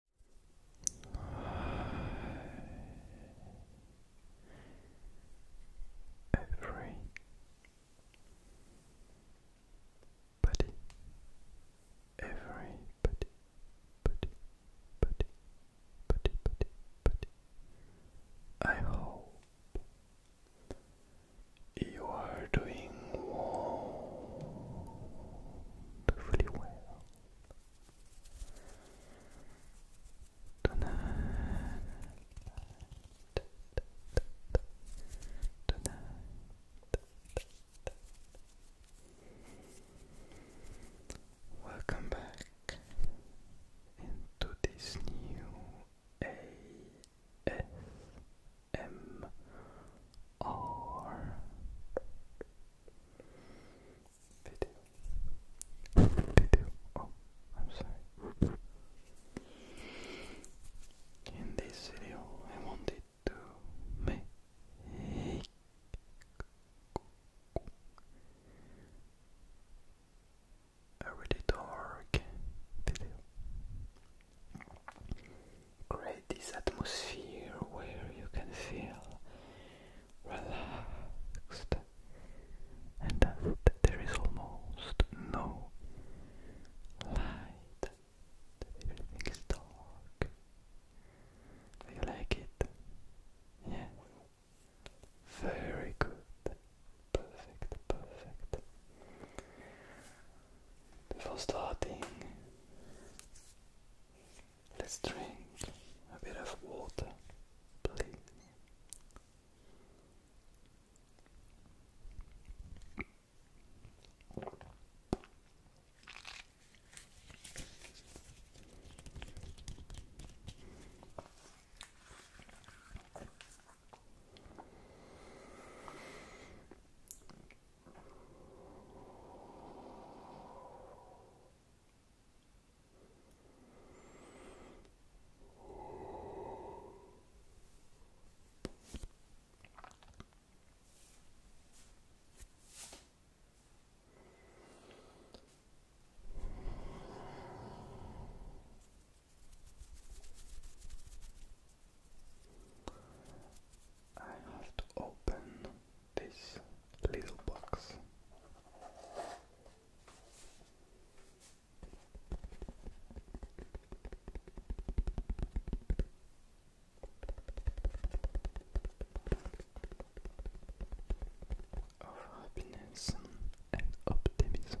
Every body, every body, body, body, body, body, I hope you are doing wonderfully well. Welcome back into this new ASMR Video. Video. Oh, I'm sorry. In this video, I wanted to make. A really dark video create this atmosphere where you can feel relaxed and that there is almost no light, everything is dark. Do you like it? Yeah? Very good. Perfect, perfect. Before starting, Let's drink a bit of water, please. I have to open this little box. Of happiness and optimism.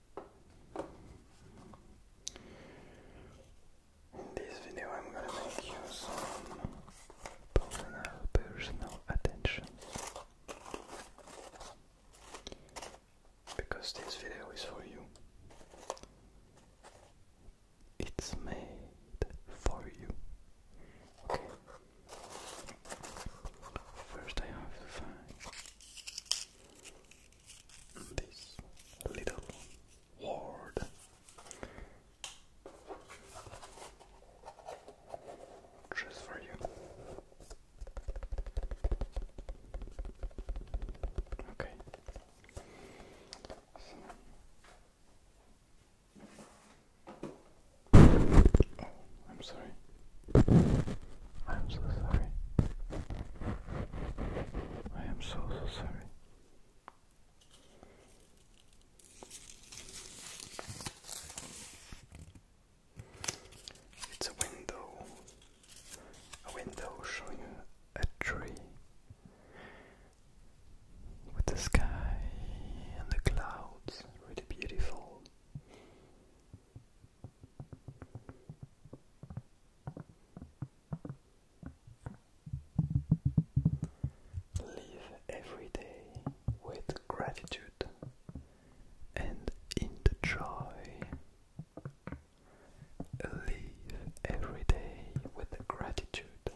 In this video, I'm gonna make you some personal, attention. Because this video is for you. It's made for you. Okay. First, I have to find this little word. Just for you. Okay. Oh, I'm sorry. I'm so sorry. I am so, so sorry. It's a window, a window showing a tree with the sky and the clouds, really beautiful. Live every day with gratitude and in the joy. Live every day with gratitude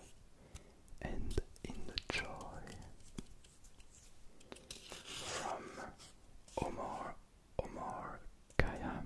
and in the joy. From Omar Omar Khayyam.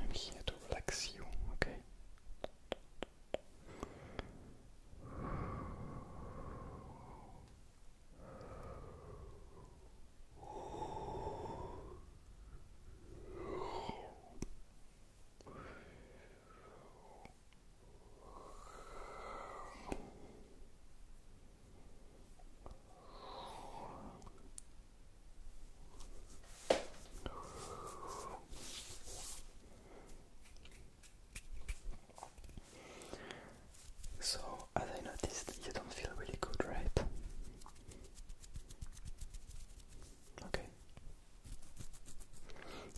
I'm here to relax you, okay? So, as I noticed, you don't feel really good, right? Okay.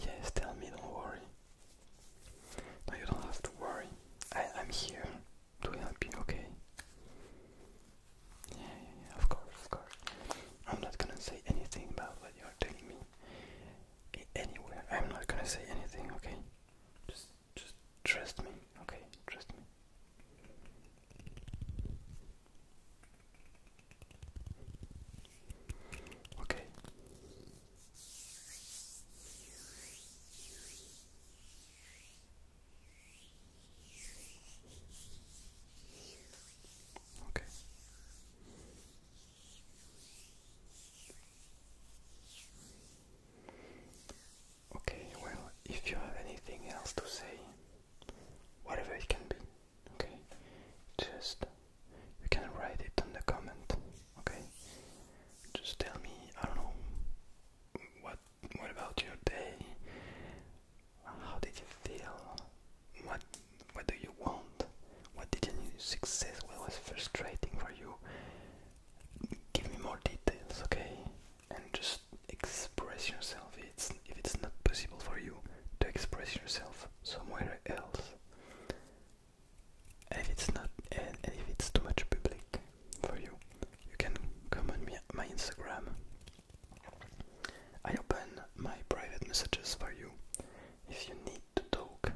Yes, tell me, don't worry. No, you don't have to worry. I'm here. Do help you, okay? Yeah, yeah, yeah, of course, of course. I'm not gonna say anything about what you're telling me anywhere. I'm not gonna say anything, okay? Just just trust me, okay? Trust me. Okay. Okay. Okay, well, if you have anything else to say, whatever it can be, okay, just you can write it in the comment, okay? Just tell me, I don't know, what what about your day? How did you feel? What what do you want? What did you need success? What was frustrating for you? Give me more details, okay? And just express yourself. It's, if it's not possible for you to express yourself somewhere else, if it's not, and if it's too much public, for you. You can come me, my Instagram. I open my private messages for you. If you need to talk,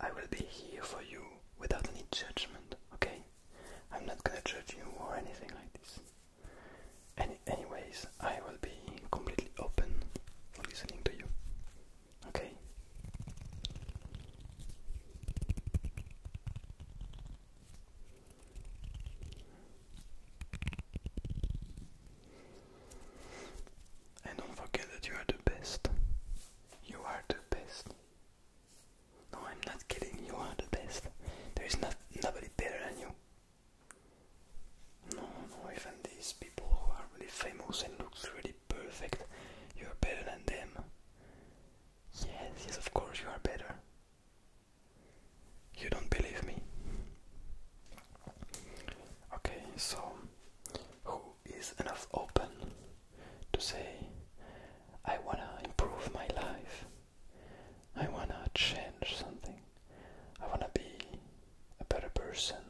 I will be here for you without any judgment, okay? I'm not gonna judge you or anything like this. anyways, I will be completely open for listening to you, okay? And don't forget that you are the best. You are the best. No, I'm not kidding. You are the best. There is not nobody better than you. No, no, even these people who are really famous and looks really perfect, you're better than them. Yes, yes, of course you are better. You don't believe me. Okay, so who is enough open to say, I wanna improve my life, I wanna change something, I wanna be a better person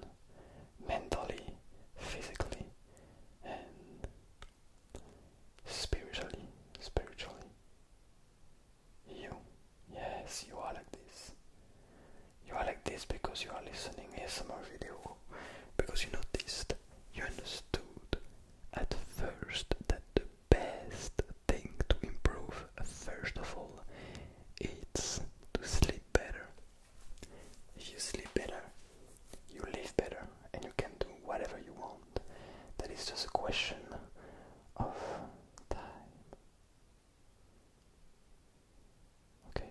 mentally, physically, and spiritually, spiritually. You, yes, you are like this. You are like this because you are listening ASMR video, because you noticed, you understood at first that the best thing to improve, first of all, is to sleep better. you sleep better, you live better and you can do whatever you want. That is just a question of time. Okay?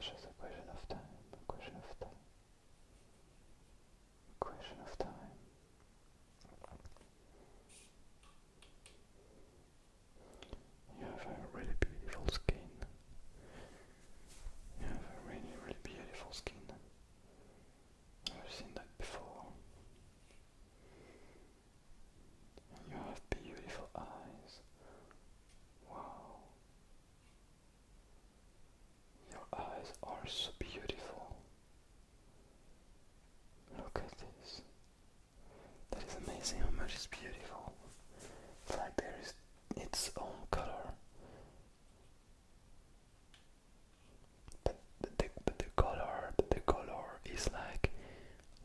just a question of time, question of time, question of time. You have a really beautiful skin. You have really, really beautiful skin. I've seen that before. you have beautiful eyes. Wow. Your eyes are so beautiful. Look at this. That is amazing how much it's beautiful. It's like there is its own color. But the, the color, the color is like,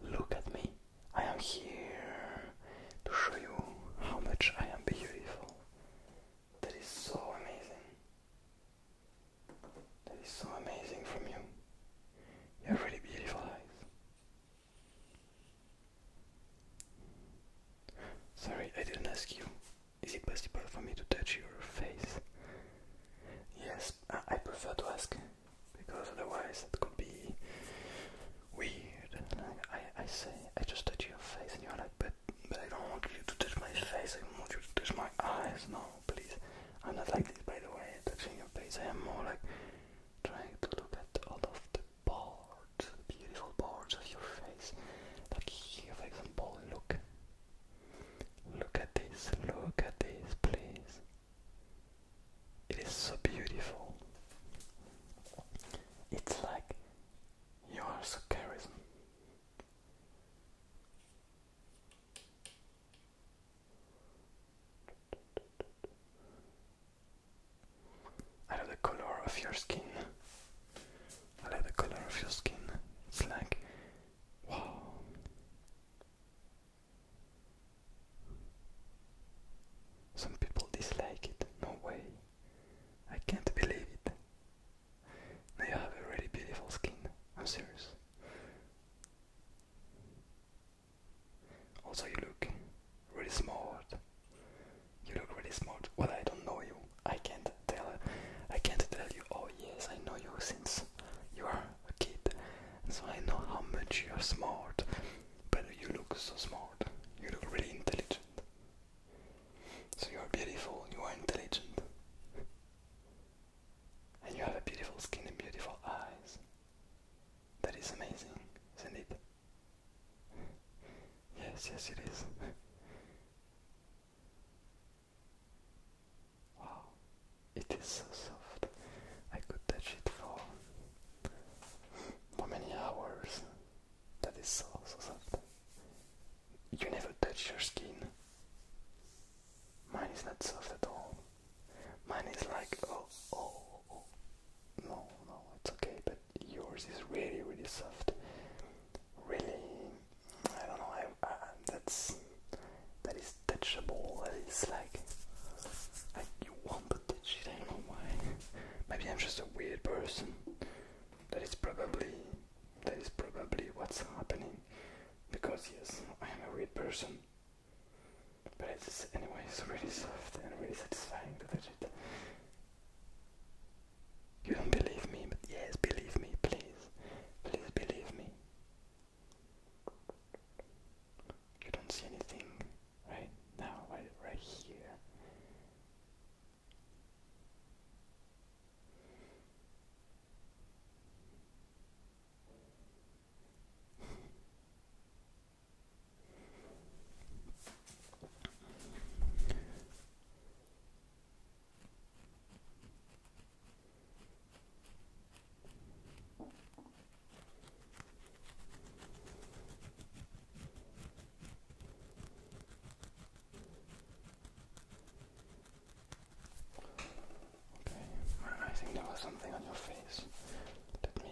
look at me. I am here to show you how much I am beautiful. That is so amazing. That is so amazing from you. You have really beautiful eyes. Sorry, I didn't ask you. Is it possible for me to touch your face? Yes, I prefer to ask because otherwise it could be weird. I, I say, I just touch your face, and you're like, but, I don't want you to touch my face, I want you to touch my eyes. No, please. I'm not like this, by the way, touching your face. I am more like trying to look at all of the parts, beautiful parts of your face. Like here, for example, look. Look at this, look at this, please. It is so beautiful. It's like you are so charismatic. I love the color of your skin. I love the color of your skin. It's like, wow. Some people dislike it. No way. I can't believe it. you have a really beautiful skin. I'm serious. Also, you look really smart. You look really smart. Well, I don't know you. I can't tell. I can't tell you. Oh yes, I know you since you are a kid, so I know how much you are smart. But you look so smart. You look really intelligent. So you are beautiful. You are intelligent. And you have a beautiful skin and beautiful eyes. That is amazing, isn't it? Yes, yes, it is. wow, it is so soft. I could touch it for for many hours. That is so, so soft. You never touch your skin. Mine is not soft at all. Mine is like, oh, oh, oh. No, no, it's okay, but yours is really really soft really I don't know that's that is touchable That is like like you want to touch it I don't know why maybe I'm just a weird person that is probably that is probably what's happening because yes I am a weird person but it's anyway. It's really soft and really satisfying to touch it. You don't believe me, but yes, believe me, please, please believe me. You don't see anything right now, right, right here. Okay, I think there was something on your face. Let me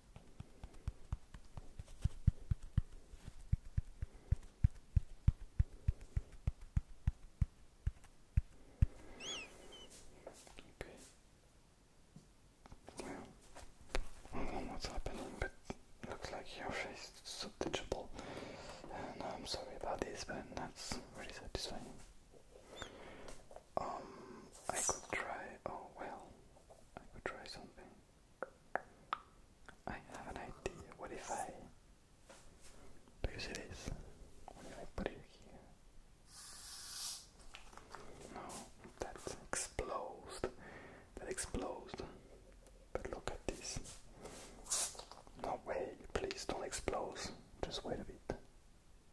Okay. Well, I don't know what's happening, but looks like your face is so subtouchable. And I'm sorry about this, but that's really satisfying. Um, I could try. Oh well, I could try something. I have an idea. What if I? Do you see I put it here? No, that explodes. That explodes. But look at this. No way, please don't explode. Just wait a bit.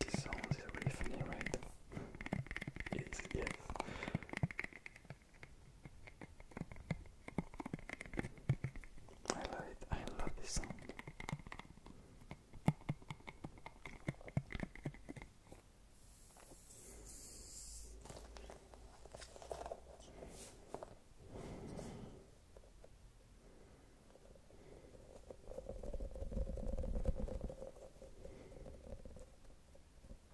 This sound is really funny, right? It's yes. I love it. I love this song.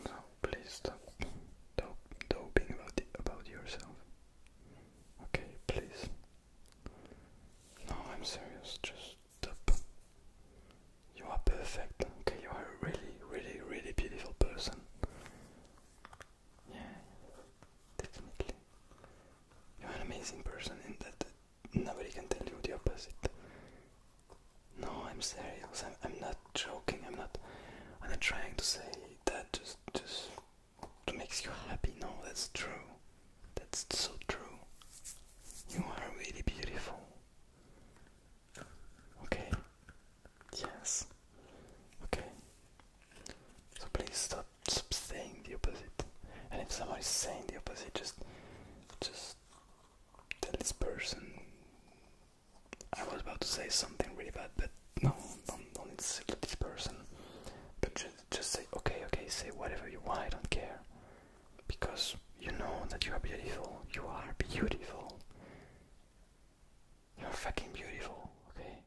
So please stop doping about about yourself. Okay, please. No, I'm serious. Just stop. You are perfect. Okay, you are a really, really, really beautiful person. Yeah, definitely. You're an amazing person and that nobody can tell you the opposite. No, I'm serious. I'm, I'm not joking. I'm not. I'm not trying to say that just just to makes you happy. No, that's true. That's so true. You are really beautiful. Okay. Yes. Okay. So please stop stop saying the opposite. And if someone is saying the opposite, just just tell this person I was about to say something really bad, but no, don't don't insult this person. But just just say okay, okay, say whatever you want. I don't care because you know that you are beautiful. You are beautiful. You're fucking beautiful. Okay.